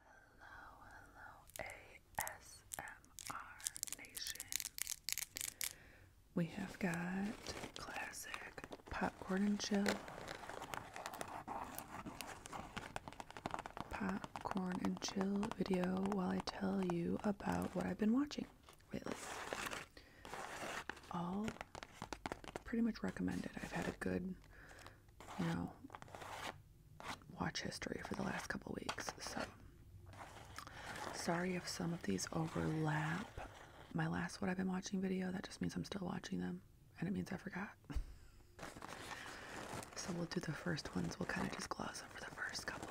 Hello, hello, ASMR Nation. We have got classic popcorn and chill. Popcorn and chill video while I tell you about what I've been watching lately. All pretty much recommended. I've had a good you know watch history for the last couple weeks. So sorry if some of these overlap. My last what I've been watching video, that just means I'm still watching them and it means I forgot. so we'll do the first ones. We'll kind of just gloss over the first couple.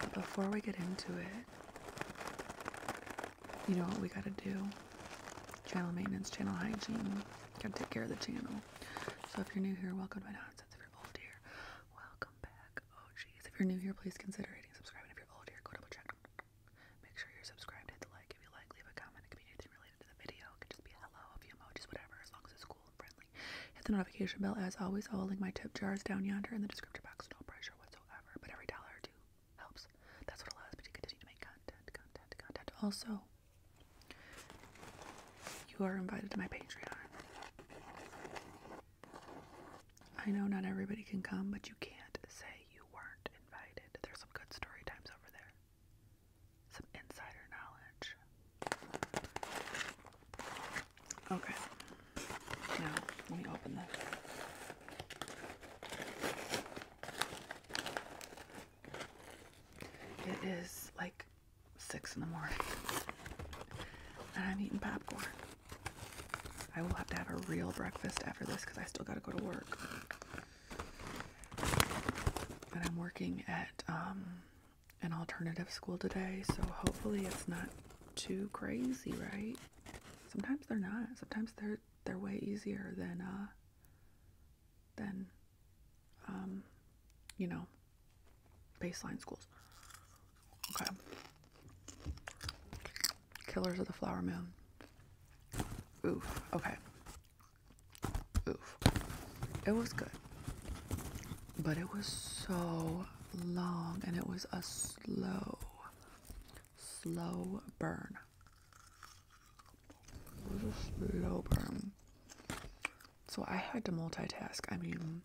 But before we get into it, you know what we gotta do? Channel maintenance, channel hygiene. Gotta take care of the channel. So if you're new here, welcome to my nonsense. If you're old here, welcome back. Oh jeez. If you're new here, please consider rating, subscribing. If you're old here, go double check. Make sure you're subscribed, hit the like if you like, leave a comment. It can be anything related to the video. It could just be hello, a few emojis, whatever, as long as it's cool and friendly. Hit the notification bell as always. I will link my tip jars down yonder in the description box. No pressure whatsoever. But every dollar or two helps. That's what allows me to continue to make content, content, content. Also, you are invited to my Patreon. I know not everybody can come, but you can't say you weren't invited. There's some good story times over there, some insider knowledge. Okay, now let me open this. It is like six in the morning, and I'm eating popcorn. I will have to have a real breakfast after this because I still got to go to work. And I'm working at um, an alternative school today, so hopefully it's not too crazy, right? Sometimes they're not. Sometimes they're they're way easier than uh, than um, you know baseline schools. Okay. Killers of the Flower Moon. Oof. Okay. Oof. It was good. But it was so long and it was a slow slow burn. It was a slow burn. So I had to multitask. I mean,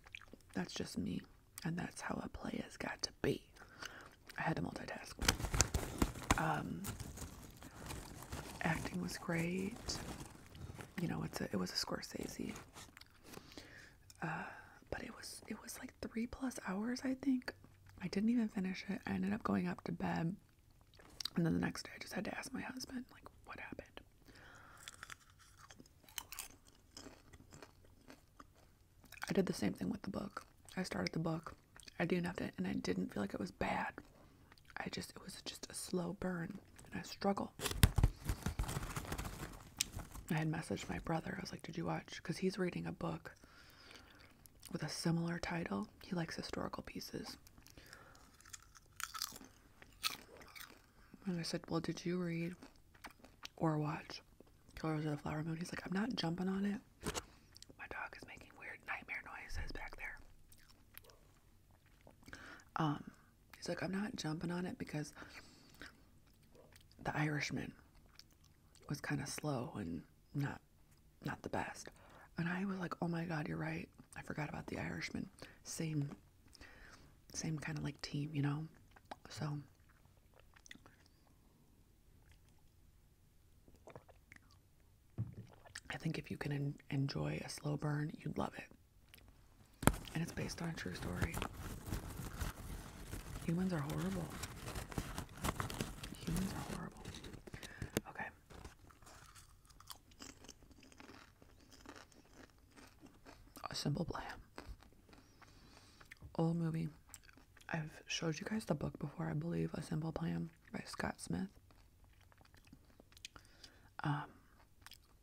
that's just me, and that's how a play has got to be. I had to multitask. Um, acting was great. You know, it's a, it was a Scorsese. Uh, but it was it was like three plus hours, I think. I didn't even finish it. I ended up going up to bed. And then the next day, I just had to ask my husband, like, what happened? I did the same thing with the book. I started the book. I didn't have to, and I didn't feel like it was bad. I just, it was just a slow burn and I struggle. I had messaged my brother. I was like, did you watch? Because he's reading a book with a similar title. He likes historical pieces. And I said, Well, did you read or watch Killers of the Flower Moon? He's like, I'm not jumping on it. My dog is making weird nightmare noises back there. Um, he's like, I'm not jumping on it because the Irishman was kind of slow and not not the best. And I was like, oh my god, you're right. I forgot about the Irishman. Same same kind of like team, you know? So I think if you can enjoy a slow burn, you'd love it. And it's based on a true story. Humans are horrible. Humans are horrible. Okay. A simple plan. Old movie. I've showed you guys the book before, I believe, A Simple Plan by Scott Smith. Um,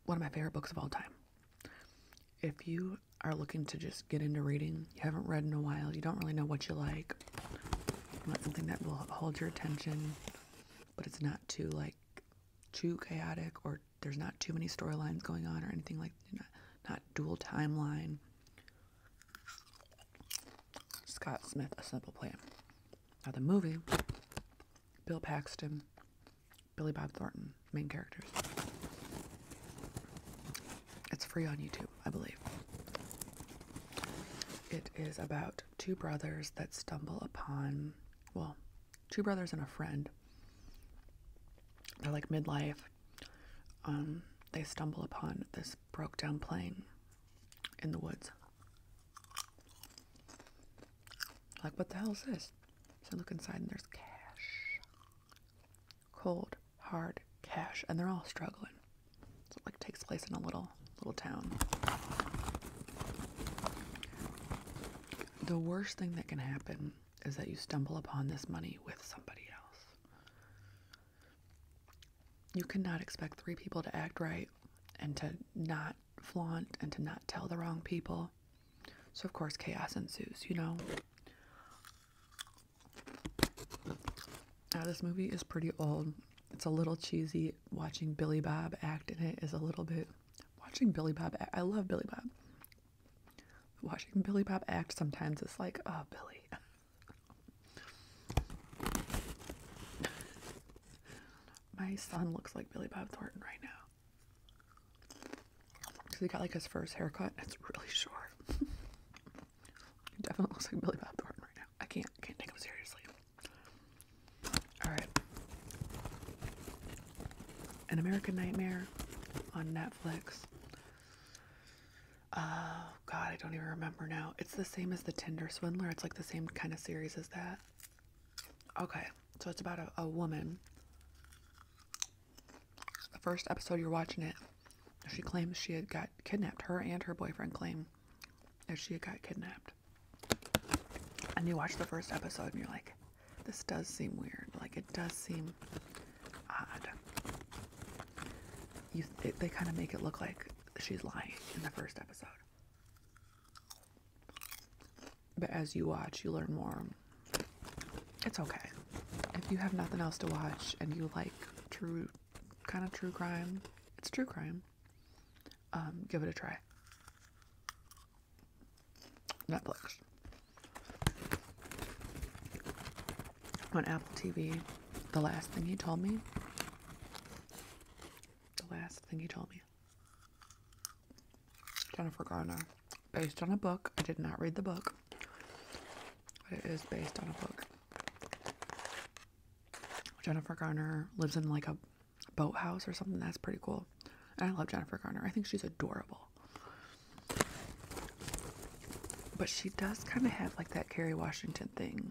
one of my favorite books of all time if you are looking to just get into reading, you haven't read in a while, you don't really know what you like, you something that will hold your attention, but it's not too like too chaotic or there's not too many storylines going on or anything like not, not dual timeline. Scott Smith, A Simple Plan. Now the movie, Bill Paxton, Billy Bob Thornton, main characters. It's free on YouTube, I believe. It is about two brothers that stumble upon, well, two brothers and a friend. They're like midlife. Um, they stumble upon this broke down plane in the woods. Like, what the hell is this? So I look inside and there's cash cold hard cash and they're all struggling so it like takes place in a little little town the worst thing that can happen is that you stumble upon this money with somebody else you cannot expect three people to act right and to not flaunt and to not tell the wrong people so of course chaos ensues you know uh, this movie is pretty old. It's a little cheesy. Watching Billy Bob act in it is a little bit. Watching Billy Bob I love Billy Bob. Watching Billy Bob act sometimes it's like, oh, Billy. My son looks like Billy Bob Thornton right now. Because he got like his first haircut. It's really short. he definitely looks like Billy Bob Thornton right now. I can't can't take him seriously. Alright. An American Nightmare on Netflix. Oh god, I don't even remember now. It's the same as the Tinder Swindler. It's like the same kind of series as that. Okay, so it's about a woman the first episode you're watching it, she claims she had got kidnapped. Her and her boyfriend claim that she had got kidnapped. And you watch the first episode and you're like, this does seem weird. Like, it does seem odd. You, they kind of make it look like she's lying in the first episode. But as you watch, you learn more it's okay. If you have nothing else to watch and you like true, kind of true crime, it's true crime. Um, give it a try. Netflix. On Apple TV, the last thing he told me. The last thing he told me. Jennifer Garner. Based on a book. I did not read the book. But it is based on a book. Jennifer Garner lives in like a boathouse or something. That's pretty cool. And I love Jennifer Garner. I think she's adorable. But she does kind of have like that Carrie Washington thing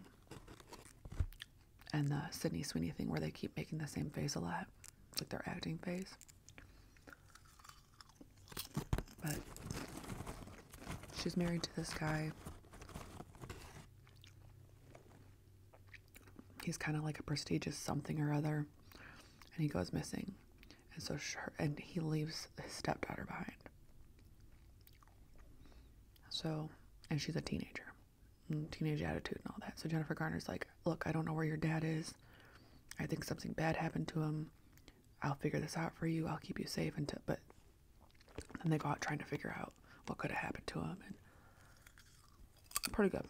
and the Sydney Sweeney thing where they keep making the same face a lot, like their acting face. But she's married to this guy. He's kind of like a prestigious something or other, and he goes missing. And so, sure, and he leaves his stepdaughter behind. So, and she's a teenager, mm, teenage attitude and all that. So Jennifer Garner's like, look, I don't know where your dad is. I think something bad happened to him. I'll figure this out for you. I'll keep you safe until. But then they go out trying to figure out what could have happened to him, and pretty good,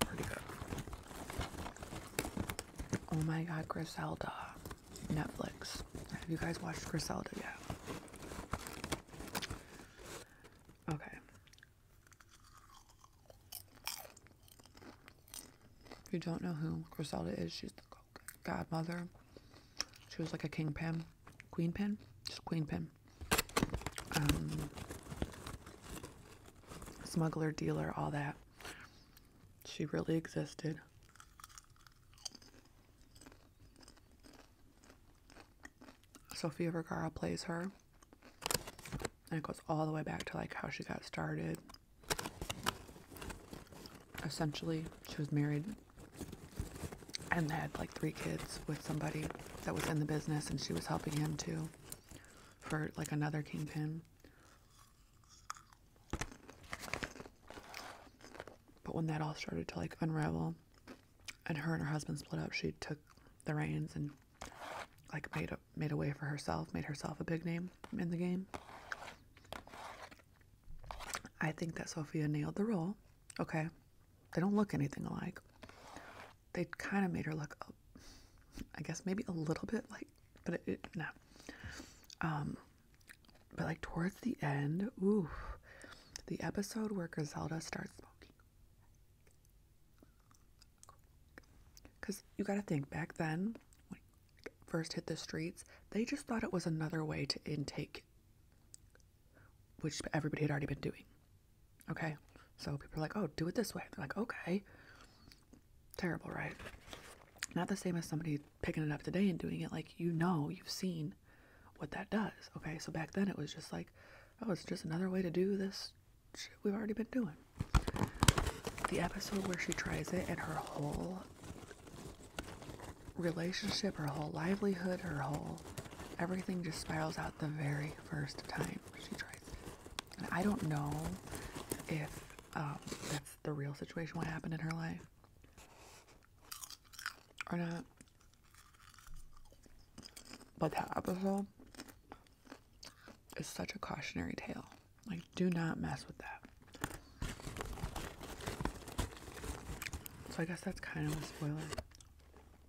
pretty good. Oh my God, Griselda, Netflix. Have you guys watched Griselda yet? Okay. If you don't know who Griselda is, she's the godmother. She was like a kingpin, queenpin, just queenpin. Um, smuggler, dealer, all that. She really existed. Sofia Vergara plays her and it goes all the way back to like how she got started. Essentially, she was married and had like three kids with somebody that was in the business, and she was helping him too for like another kingpin. But when that all started to like unravel and her and her husband split up, she took the reins and like made a made a way for herself, made herself a big name in the game. I think that Sophia nailed the role. Okay. They don't look anything alike. They kind of made her look I guess maybe a little bit like but it, no. Um but like towards the end, ooh, the episode where Griselda starts smoking. Because you got to think back then, when it first hit the streets, they just thought it was another way to intake, which everybody had already been doing. Okay. So people are like, oh, do it this way. They're like, okay. Terrible, right? Not the same as somebody picking it up today and doing it. Like, you know, you've seen what that does. Okay. So back then it was just like, oh, it's just another way to do this we've already been doing. The episode where she tries it and her whole relationship, her whole livelihood, her whole everything just spirals out the very first time she tries it. And I don't know if um, that's the real situation, what happened in her life or not. But that episode it's such a cautionary tale. Like, do not mess with that. So I guess that's kind of a spoiler.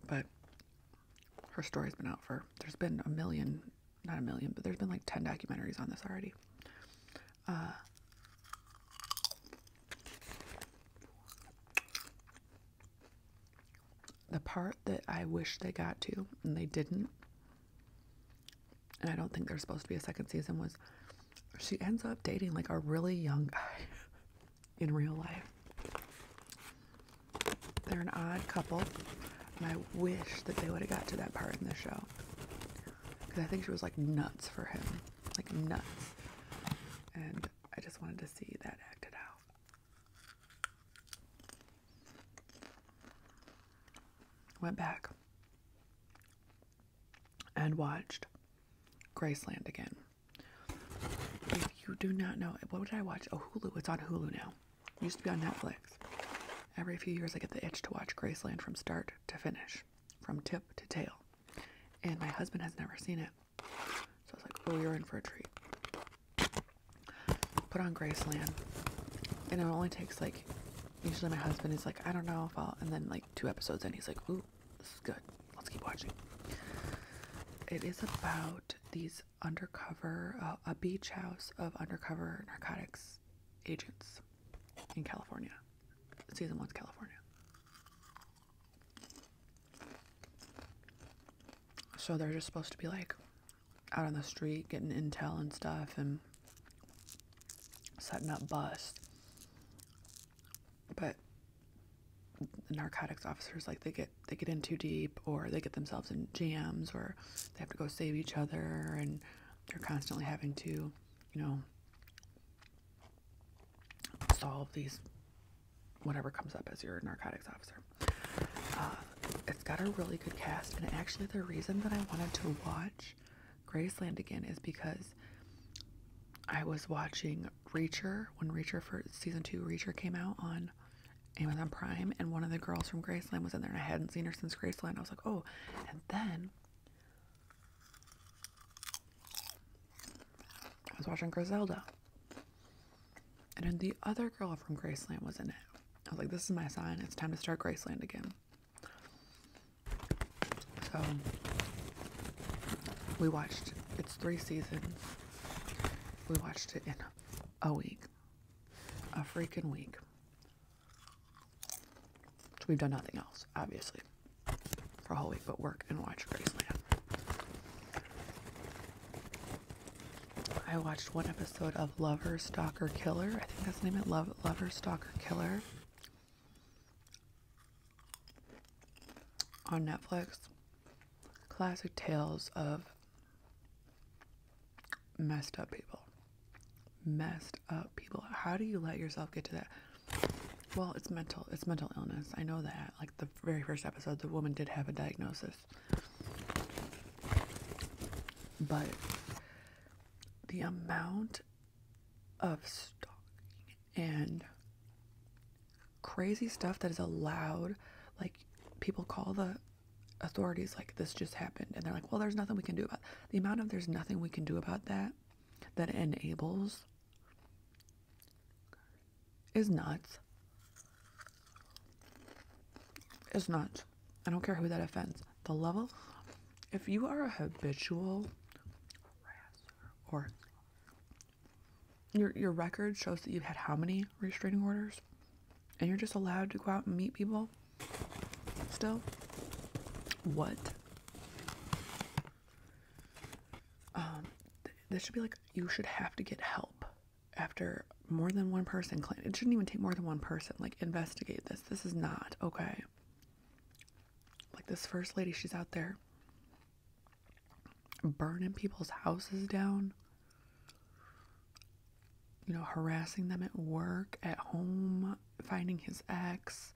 But her story's been out for, there's been a million, not a million, but there's been like 10 documentaries on this already. Uh, the part that I wish they got to and they didn't, and I don't think there's supposed to be a second season, was she ends up dating like a really young guy in real life. They're an odd couple, and I wish that they would have got to that part in the show. Because I think she was like nuts for him. Like nuts. And I just wanted to see that acted out. Went back and watched Graceland again. If you do not know, what did I watch? Oh, Hulu. It's on Hulu now. used to be on Netflix. Every few years, I get the itch to watch Graceland from start to finish, from tip to tail. And my husband has never seen it. So I was like, oh, you're in for a treat put on Land, and it only takes like. Usually, my husband is like, I don't know if I'll, and then like two episodes and he's like, Ooh, this is good. Let's keep watching. It is about these undercover, uh, a beach house of undercover narcotics agents in California. Season one's California. So they're just supposed to be like out on the street getting intel and stuff and setting up busts. But the narcotics officers like they get they get in too deep or they get themselves in jams or they have to go save each other and they're constantly having to, you know, solve these whatever comes up as your narcotics officer. Uh, it's got a really good cast, and actually, the reason that I wanted to watch Graceland again is because I was watching Reacher when Reacher for season two Reacher came out on Amazon Prime, and one of the girls from Graceland was in there, and I hadn't seen her since Graceland. I was like, oh, and then I was watching Griselda, and then the other girl from Graceland was in it. I was like, this is my sign. It's time to start Graceland again. So we watched it's three seasons. We watched it in a week. A freaking week. we've done nothing else, obviously, for a whole week but work and watch Graceland. I watched one episode of Lover Stalker Killer. I think that's the name of it. Love Lover Stalker Killer on Netflix. Classic tales of messed up people. Messed up people. How do you let yourself get to that? Well, it's mental. It's mental illness. I know that. Like the very first episode, the woman did have a diagnosis. But the amount of stalking and crazy stuff that is allowed, like people call the authorities like this just happened and they're like, "Well, there's nothing we can do about." The amount of there's nothing we can do about that that enables is nuts. Is nuts. I don't care who that offends. The level, if you are a habitual or your your record shows that you've had how many restraining orders, and you're just allowed to go out and meet people. Still, what? Um, this should be like you should have to get help after more than one person claimed it shouldn't even take more than one person like investigate this this is not okay like this first lady she's out there burning people's houses down you know harassing them at work at home finding his ex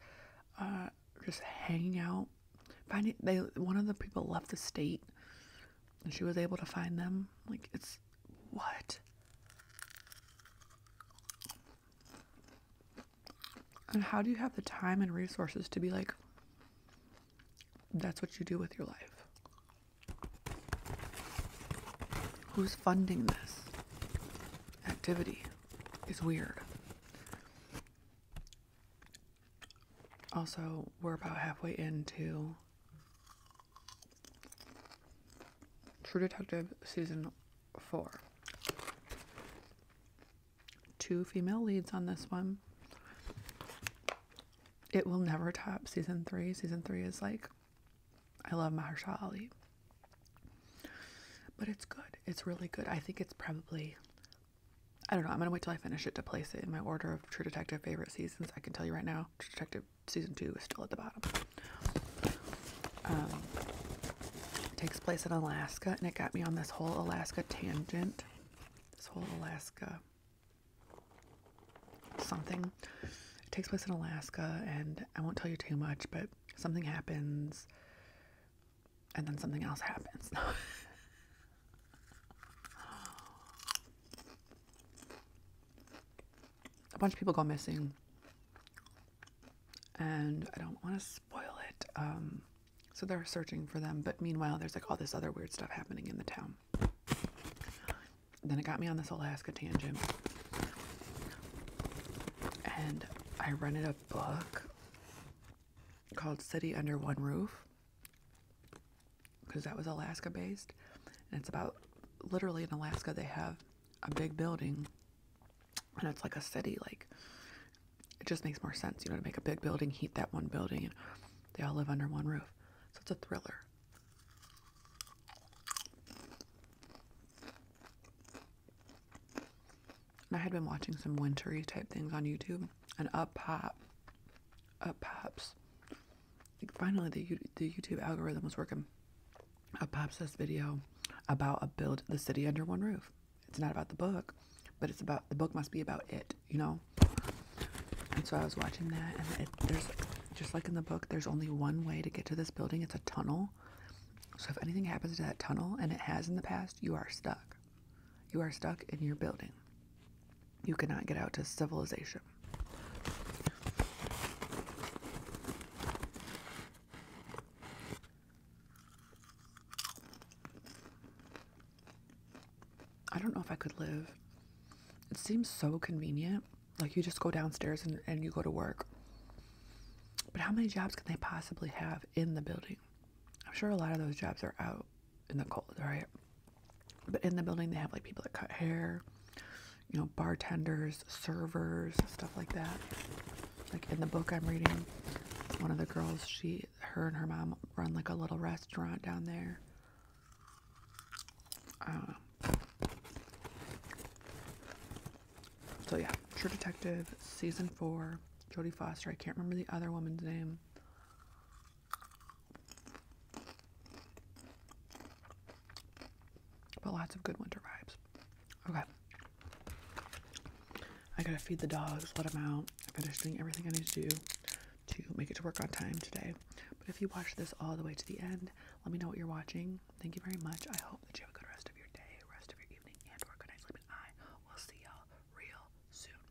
uh, just hanging out finding they one of the people left the state and she was able to find them. Like, it's what? And how do you have the time and resources to be like, that's what you do with your life? Who's funding this activity? Is weird. Also, we're about halfway into True Detective season four. Two female leads on this one. It will never top season three. Season three is like, I love Mahershala Ali. But it's good. It's really good. I think it's probably, I don't know, I'm going to wait till I finish it to place it in my order True Detective favorite seasons. I can tell you right now, True Detective season two is still at the bottom. Um, it takes place in Alaska, and it got me on this whole Alaska tangent. This whole Alaska something. It takes place in Alaska, and I won't tell you too much, but something happens, and then something else happens. a bunch of people go missing and I don't want to spoil it. Um, so they're searching for them, but meanwhile, there's like all this other weird stuff happening in the town. Then it got me on this Alaska tangent, and I rented a book called City Under One Roof because that was Alaska based. And it's about literally in Alaska, they have a big building and it's like a city. Like, it just makes more sense, you know, to make a big building, heat that one building, and they all live under one roof. So it's a thriller. I had been watching some wintry type things on YouTube and up pop, up pops. finally, the YouTube algorithm was working. Up pops this video about a build the city under one roof. It's not about the book, but it's about the book must be about it, you know. And so I was watching that, and it, there's just like in the book, there's only one way to get to this building. It's a tunnel. So if anything happens to that tunnel, and it has in the past, you are stuck. You are stuck in your building. You cannot get out to civilization. I don't know if I could live. It seems so convenient. Like you just go downstairs and, and you go to work. But how many jobs can they possibly have in the building? I'm sure a lot of those jobs are out in the cold, right? But in the building, they have like people that cut hair, you know, bartenders, servers, stuff like that. Like in the book I'm reading, one of the girls, she, her and her mom run like a little restaurant down there. Um, so yeah, True Detective season four, Jodie Foster. I can't remember the other woman's name. But lots of good winter vibes. Okay. I gotta feed the dogs, let them out. I'm finishing everything I need to do to make it to work on time today. But if you watch this all the way to the end, let me know what you're watching. Thank you very much. I hope that you have a good rest of your day, rest of your evening, and or good night's sleep. And I will see y'all real soon.